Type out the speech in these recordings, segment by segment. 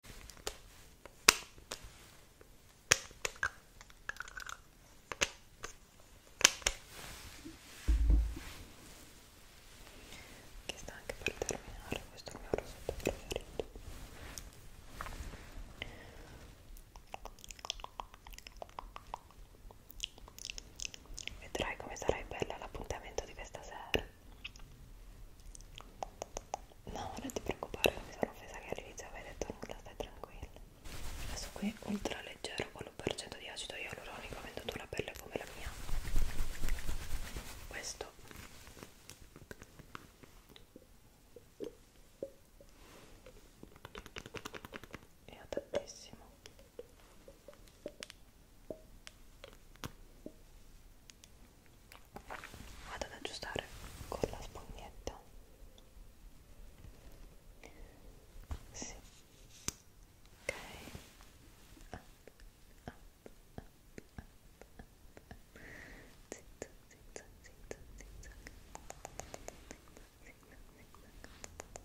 che sta anche per terminare questo è il mio rosetto preferito vedrai come sarai bella l'appuntamento di questa sera No, non ti preoccupare, non mi sono offesa che all'inizio avevi detto nulla, stai tranquilla. Adesso qui ultra leggero 1% di acido ialuronico venduto la pelle come la mia. Questo è adattissimo vado ad aggiustare con la spugnetta sì. ok up, up, up, up, up. Zitto, zitto, zitto, zitto. Zitto, zitto, zitto. Up, up, up,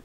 up.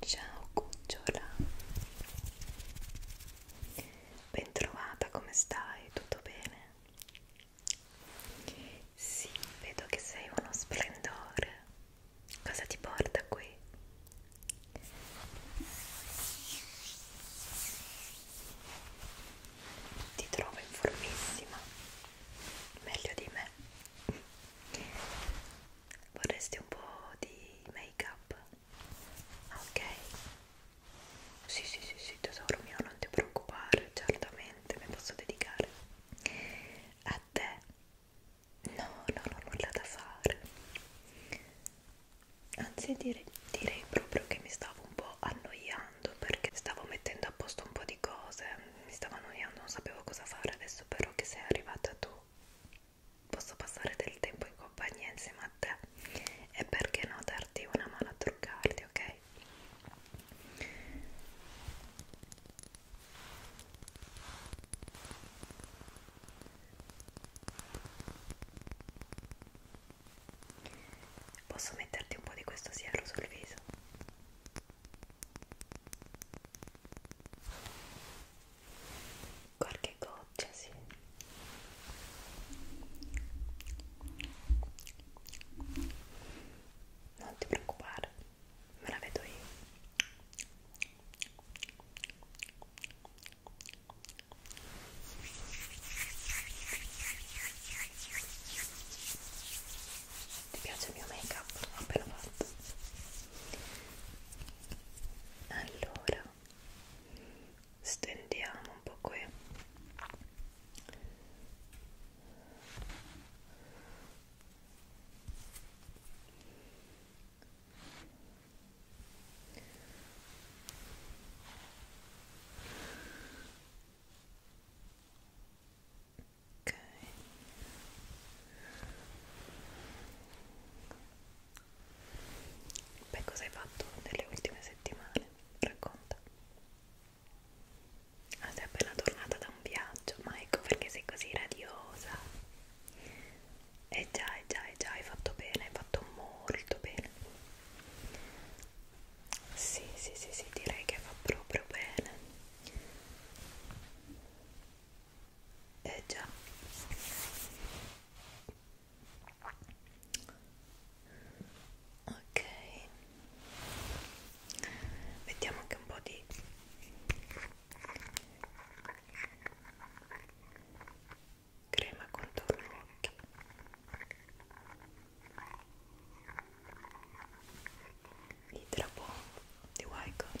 Ciao cucciola Bentrovata, come stai? Tutto bene? Sì, vedo che sei uno splendore Cosa ti porta qui? Ti trovo in formissima Meglio di me Vorresti un po' di make up? ok sì sì sì sì tesoro mio non ti preoccupare certamente mi posso dedicare a te no non ho nulla da fare anzi dire, direi proprio che mi stavo un po' annoiando perché stavo mettendo a posto un po' di cose mi stavo annoiando non sapevo cosa fare adesso però che sei arrivata tu posso passare del tempo in compagnia insieme a te e perché no darti una mano a truccarti, ok? Posso metterti un po' di questo siero sul viso? qualche goccia sì non ti preoccupare me la vedo io ti piace il mio make up appena fatto allora stendiamo un po' qui ok Beh, cosa hai fatto nelle ultime settimane? Racconta. Ah, sei appena tornata da un viaggio, ma ecco perché sei così radiosa. E eh già, e eh già, e eh già, hai fatto bene, hai fatto molto bene. Sì, sì, sì, sì, direi che fa proprio bene eh già ok mettiamo anche un po' di crema contorno occhio l'idra bomb di Wycon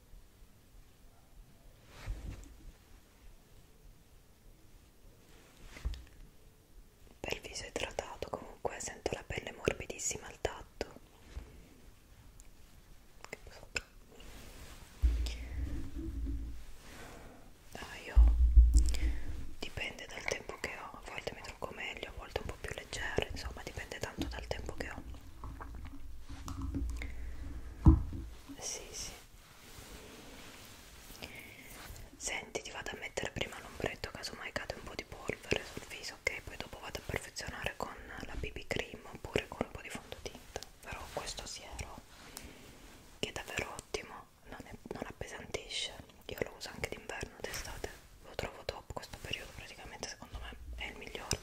Bel viso idratato, comunque sento la pelle morbidissima al tatto. Ah, io dipende dal tempo che ho, a volte mi trucco meglio, a volte un po' più leggero, insomma dipende tanto dal tempo che ho. Sì, sì. Senti, ti vado a mettere prima l'ombretto, casomai cade un po' di polvere sul viso, ok? Poi dopo vado a perfezionare con la BB cream oppure con un po' di fondotinta. Però questo siero, che è davvero ottimo, non, è, non appesantisce. Io lo uso anche d'inverno, d'estate. Lo trovo top questo periodo, praticamente secondo me è il migliore.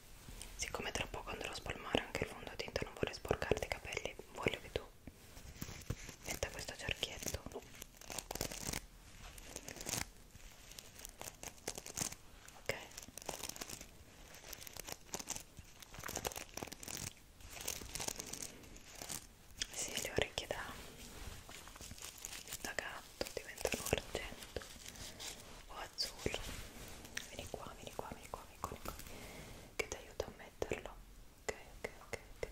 siccome tra poco andrò a spalmare anche il fondotinta non vorrei sporcarti i capelli voglio che tu metta questo cerchietto ok sì, le orecchie da, da gatto argento, esatto, diventano argento o azzurro. Vieni qua, vieni qua, vieni qua, vieni qua, vieni qua. che ti aiuta a metterlo. Ok, ok, ok, ok.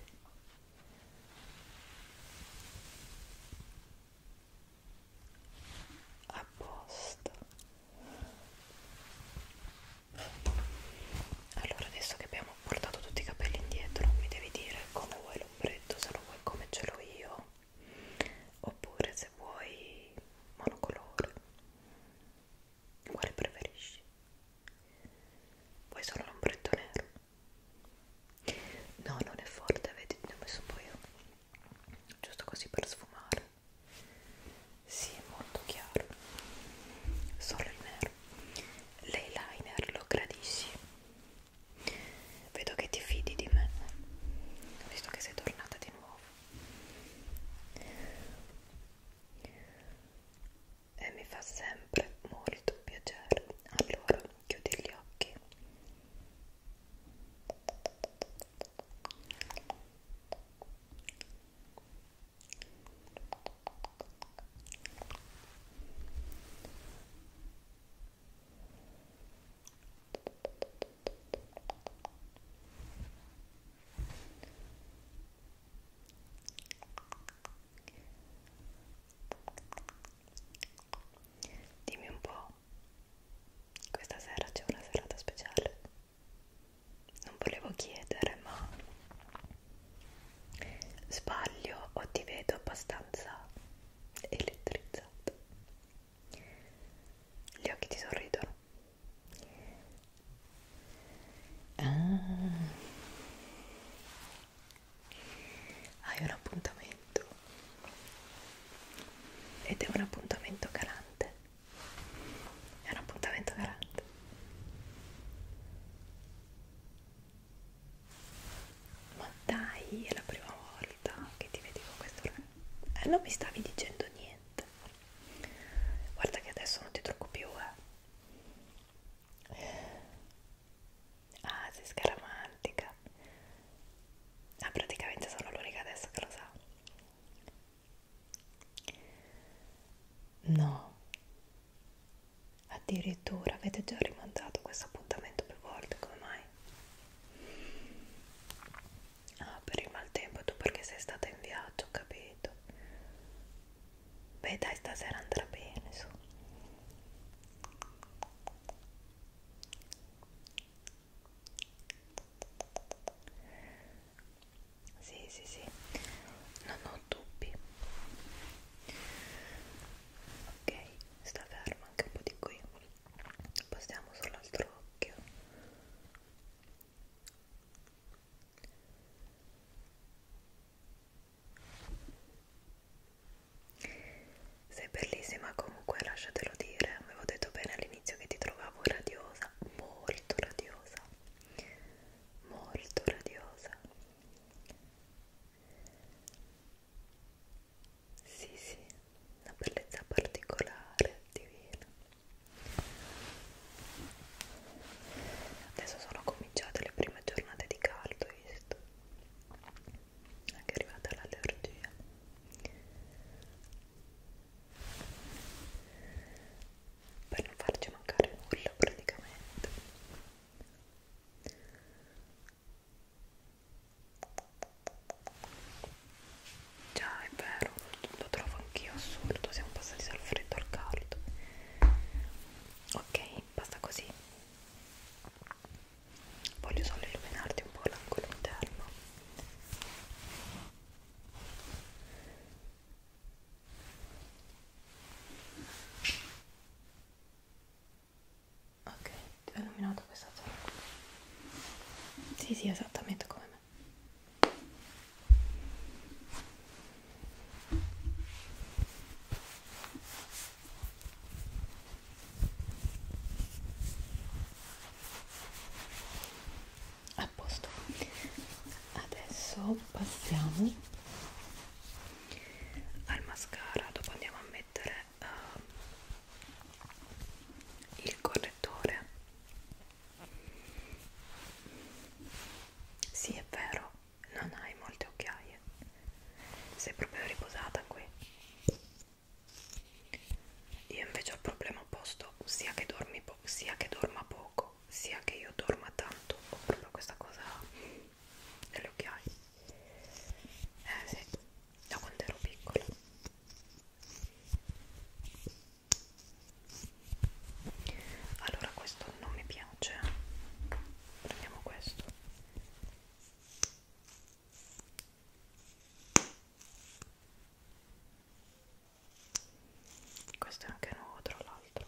A posto. Allora, adesso che abbiamo portato tutti i capelli indietro, mi devi dire come vuoi l'ombretto, se lo vuoi come ce l'ho io oppure se vuoi monocolore quale preferisci? vuoi solo l'ombretto nero? no non è forte vedi ne ho messo un po' io giusto così per sfumare si sì, è molto chiaro solo il nero l'eyeliner lo gradisci? Vedo che ti fidi di me, visto che sei tornata di nuovo. E mi fa sempre molto piacere. Allora, chiudi gli occhi. Dimmi un po', questa sera c'è una serata speciale? Non volevo chiedere, ma sbaglio o ti vedo abbastanza elettrizzata? Gli occhi ti sorridono. Ah. Hai un appuntamento ed è un appuntamento calante. È un appuntamento calante. Ma dai, è la prima volta volta che ti vedevo questo eh, non mi stavi dicendo niente guarda che adesso non ti trucco più eh ah sei scaramantica ah praticamente sono l'unica adesso che lo sa no addirittura avete già rimandato questo appuntamento più volte come mai Ah, per il maltempo tu perché sei stata in viaggio, capito? Beh dai, stasera andrà bene, su. Sì, sì, sì, non ho dubbi. Ok, sta fermo anche un po' di qui passiamo sull'altro occhio sei bellissima comunque lasciatelo dire avevo detto bene all'inizio che ti trovavo radiosa molto radiosa molto radiosa sì, sì, una bellezza particolare, divina. Adesso sono cominciate le prime giornate di caldo, visto? Anche arrivata l'allergia. Per non farci mancare nulla praticamente. Già è vero, lo trovo anch'io assurdo, siamo passati dal freddo al caldo. Ok, basta così. Voglio solo illuminarti un po' l'angolo interno ok ti ho illuminato questa zona sì sì esattamente come me a posto adesso passiamo al mascara dopo andiamo a mettere uh, il correttore sì è vero non hai molte occhiaie sei proprio riposata qui io invece ho il problema opposto sia che dormi sia che dorma poco sia che io dorma tanto ho proprio questa cosa delle occhiaie eh sì da quando ero piccola allora questo non mi piace prendiamo questo questo è anche nuovo tra l'altro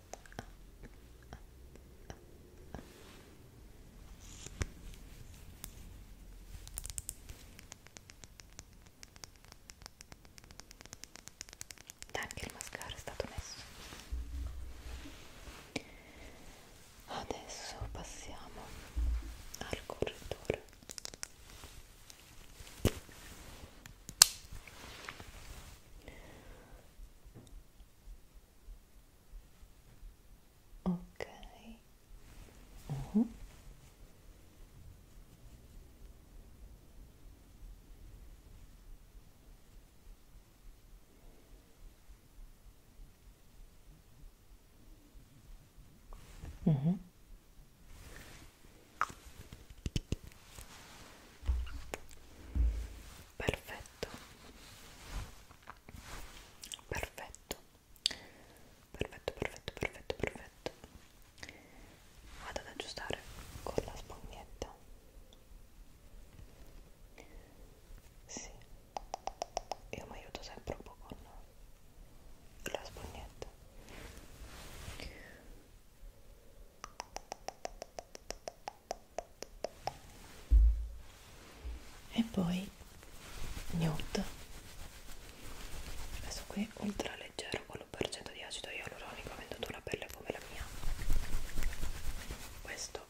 anche il mascara è stato messo adesso passiamo al correttore Okay. Mm -hmm. Mm -hmm. perfetto perfetto perfetto perfetto perfetto perfetto vado ad aggiustare con la spugnetta sì io mi aiuto sempre un po' con la spugnetta e poi nude questo qui ultra leggero con l'1% di acido ialuronico venduto una pelle come la mia questo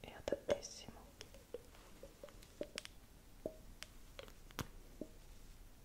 è adattissimo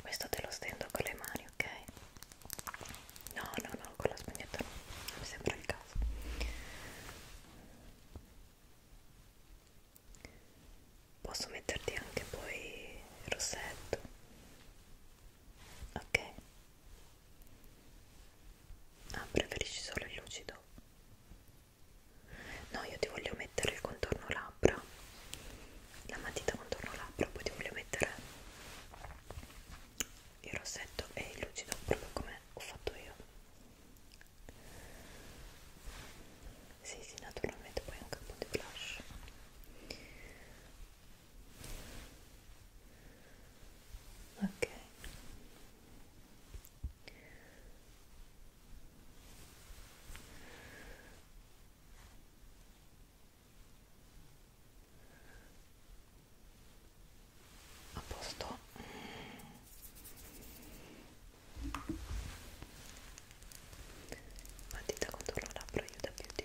questo te lo stendo con le mani ok no no no con la spugnetta no non mi sembra il caso posso metterti anche poi il rossetto ok ah preferisci solo il lucido no io ti voglio mettere il contorno labbra la matita contorno labbra poi ti voglio mettere il rossetto è il lucido proprio come ho fatto io sì sì naturalmente poi anche un po' di blush ok a posto matita contro la labbra aiuta più di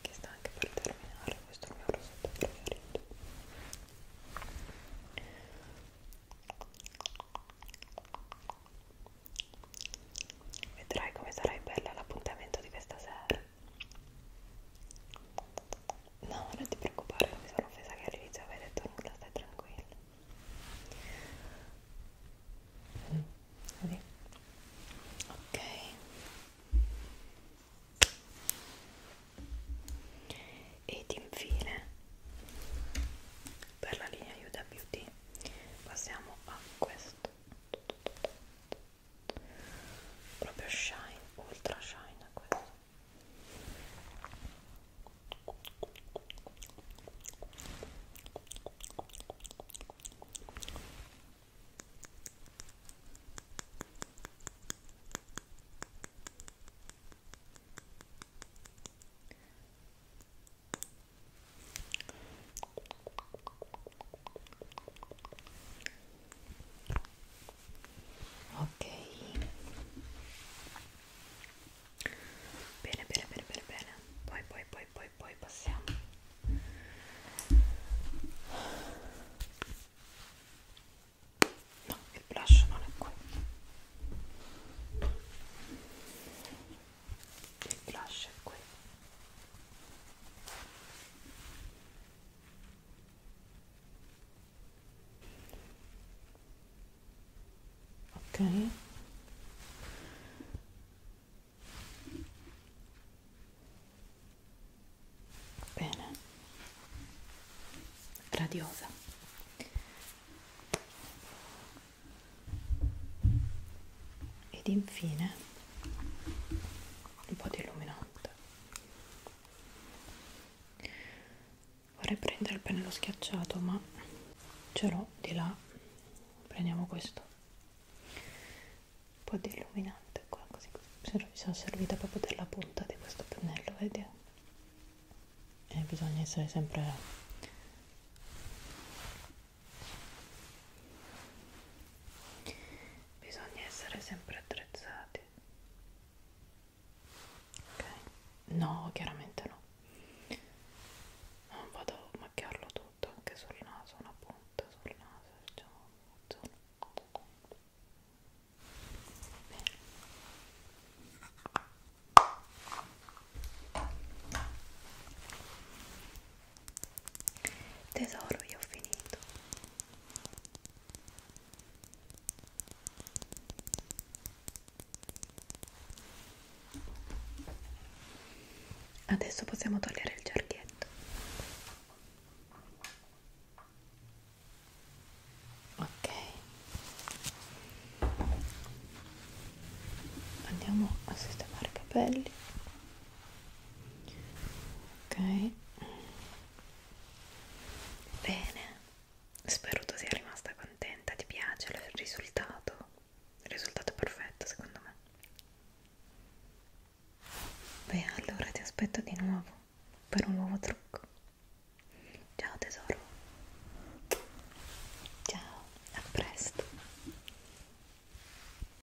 che sta anche per terminare questo è il mio rosetto preferito vedrai come sarai bella l'appuntamento di questa sera No, non ti preoccupare, non mi sono offesa che all'inizio avevi detto nulla, stai tranquilla. Così. Ok. Ed infine, per la linea Aiuta Beauty, passiamo a questo proprio shine ultra shine questo Ok. Bene, bene, bene, bene, bene. Poi, poi, poi, poi, poi passiamo. No, il blush non è qui. Il blush è qui ok bene radiosa ed infine un po' di illuminante vorrei prendere il pennello schiacciato ma ce l'ho di là prendiamo questo un po' di illuminante qua così mi sono servita proprio della punta di questo pennello vedi e eh, bisogna essere sempre bisogna essere sempre attrezzati ok no chiaramente no non vado a macchiarlo tutto anche sul naso una punta sul naso diciamo zona. Bene tesoro io ho finito adesso possiamo togliere il cerchietto ok andiamo a sistemare i capelli ok bene spero tu sia rimasta contenta ti piace il risultato il risultato perfetto secondo me beh allora ti aspetto di nuovo per un nuovo trucco ciao tesoro ciao a presto